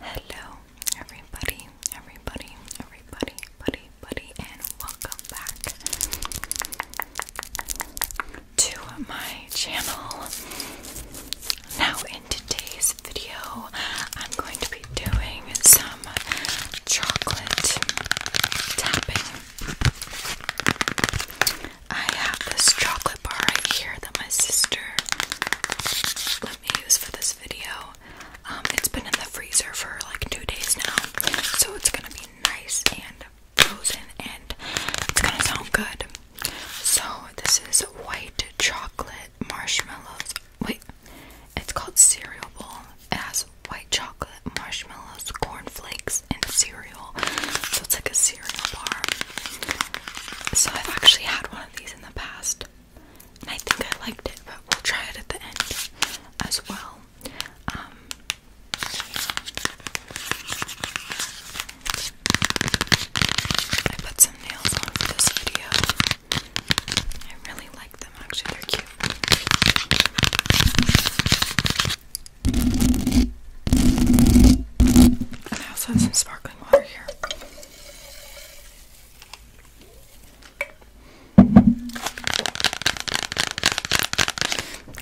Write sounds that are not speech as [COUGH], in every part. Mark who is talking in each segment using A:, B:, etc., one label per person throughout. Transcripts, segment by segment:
A: Hello, everybody, everybody, everybody, buddy, buddy, and welcome back to my channel. Now, in today's video, I'm going to be doing some chocolate tapping. I have this chocolate bar right here that my sister let me use for this video. Um, it's been in the freezer for like two days now, so it's gonna be nice and frozen and it's gonna sound good. So, this is white chocolate marshmallows. Wait, it's called Cereal Bowl. It has white chocolate, marshmallows, corn flakes, and cereal. So, it's like a cereal bar. So, I've actually had one of these in the past. I think I liked it, but we'll try it at the end as well. Um, I put some nails on for this video. I really like them, actually, they're cute. And I also have some sparkling water here.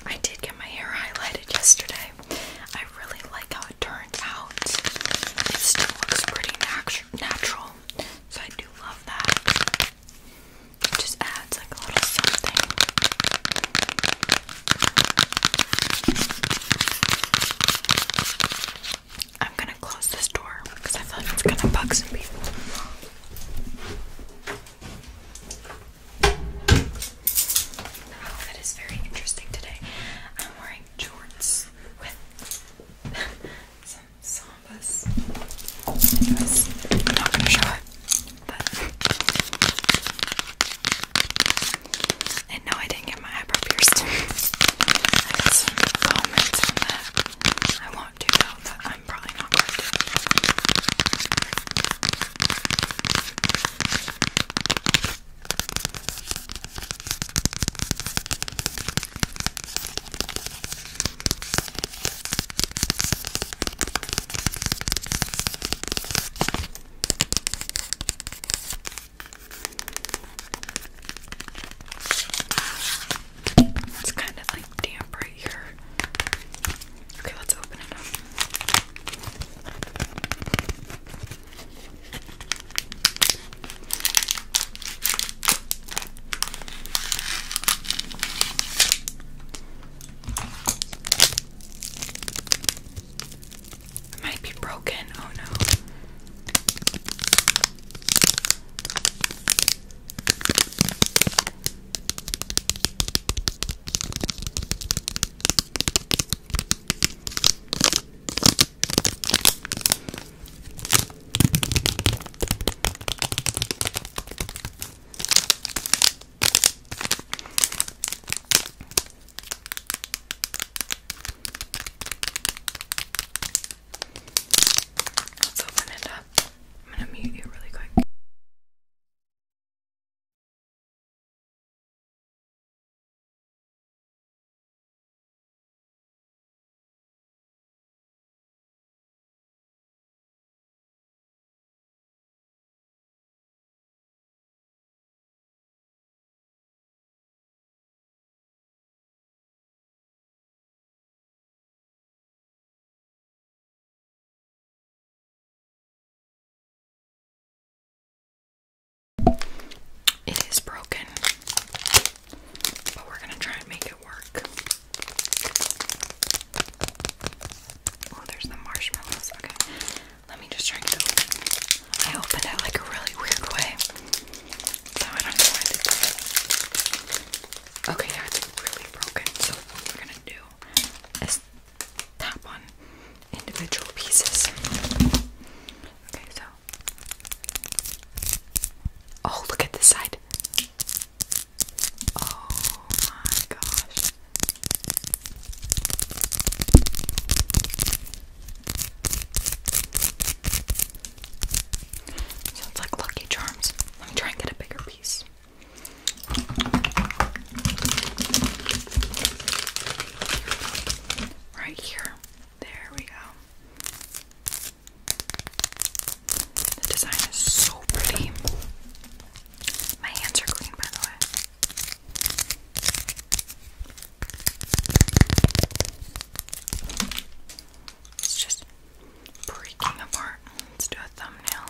A: I did get my hair highlighted yesterday. I really like how it turned out. It still looks pretty natural, so I do love that. It just adds like a little something. I'm gonna close this door because I feel like it's gonna bug some people. That is very interesting today. I'm wearing shorts with [LAUGHS] some sambas. I'm not gonna show it, and no, I didn't get my eyebrow pierced. [LAUGHS] I got some comments that. I am probably not going to. It's kind of like damp right here. Okay, let's open it up. It might be broken. Oh no. Let's open it up. I'm gonna mute you really quick. It is broken, but we're going to try and make it work. Oh, there's the marshmallows. Okay. Let me just try to get it open. I opened it like a really weird way. So I don't know why they broke it. Okay, yeah, really broken. So what we're gonna do is tap on individual pieces. Okay, so Oh, look at this side. Oh my gosh. Sounds like Lucky Charms. Let me try and get a bigger piece. Right here. There we go. The design is so pretty. My hands are clean, by the way. It's just breaking apart. Let's do a thumbnail.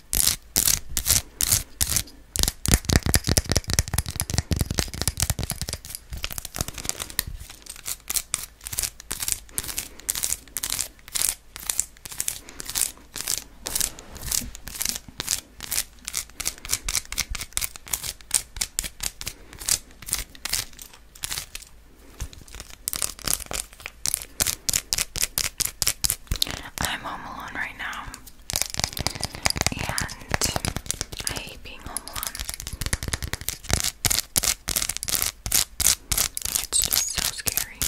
A: I'm home alone right now, and I hate being home alone. It's just so scary.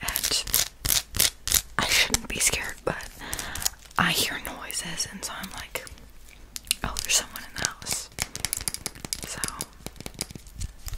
A: And I shouldn't be scared, but I hear noises, and so I'm like, oh, there's someone in the house. So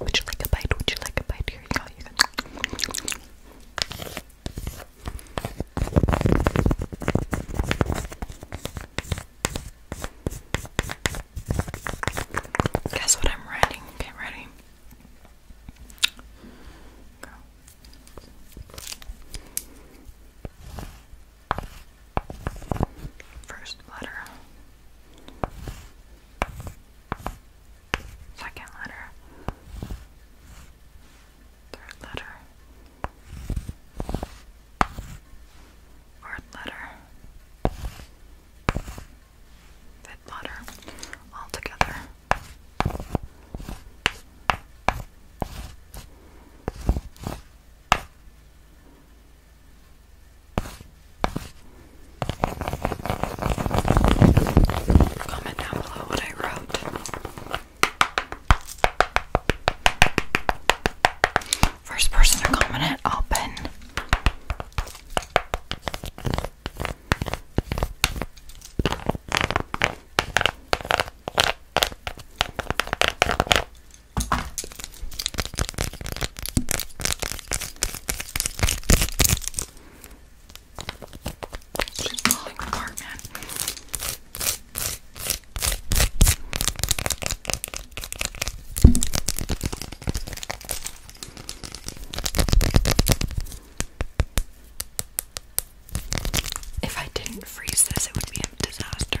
A: Would you like a bite? Would you like a bite? Here you go. Guess what I'm writing? Get ready. First letter. Second letter. Third letter. Fourth letter that letter all together. Comment down below what I wrote. First person to comment it, open. She's falling apart, man. If I didn't freeze this, it would be a disaster.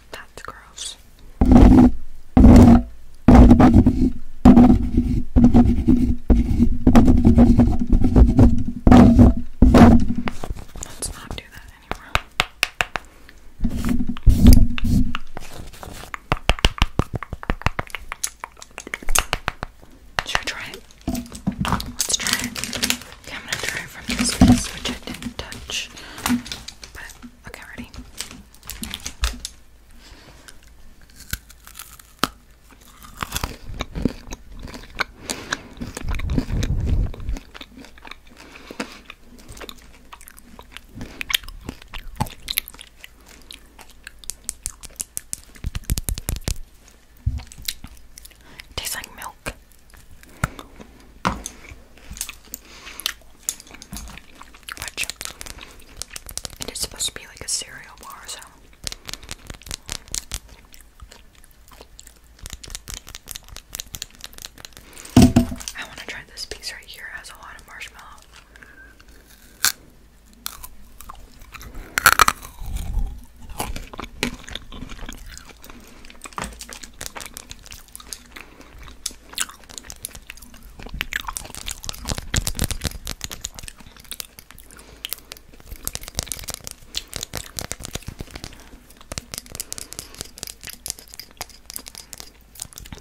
A: That's gross. Let's not do that anymore. Should we try it? Let's try it. Okay, I'm gonna try it from this place, which I didn't touch. Okay, ready? Tastes like milk. But chips. It is supposed to be like a cereal bar, so. I want to try this piece right here. has a lot of marshmallow.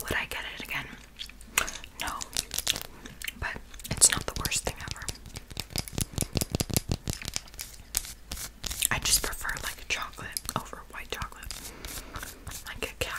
A: Would I get it again? No, but it's not the worst thing ever. I just prefer like a chocolate over white chocolate. Like a cow.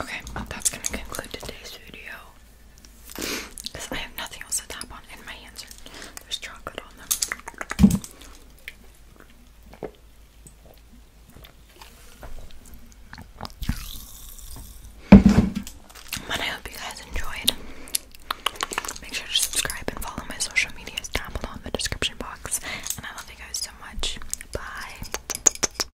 A: Okay, that's gonna conclude today's video. Because I have nothing else to tap on, and my hands There's chocolate on them. But I hope you guys enjoyed. Make sure to subscribe and follow my social medias down below in the description box. And I love you guys so much. Bye.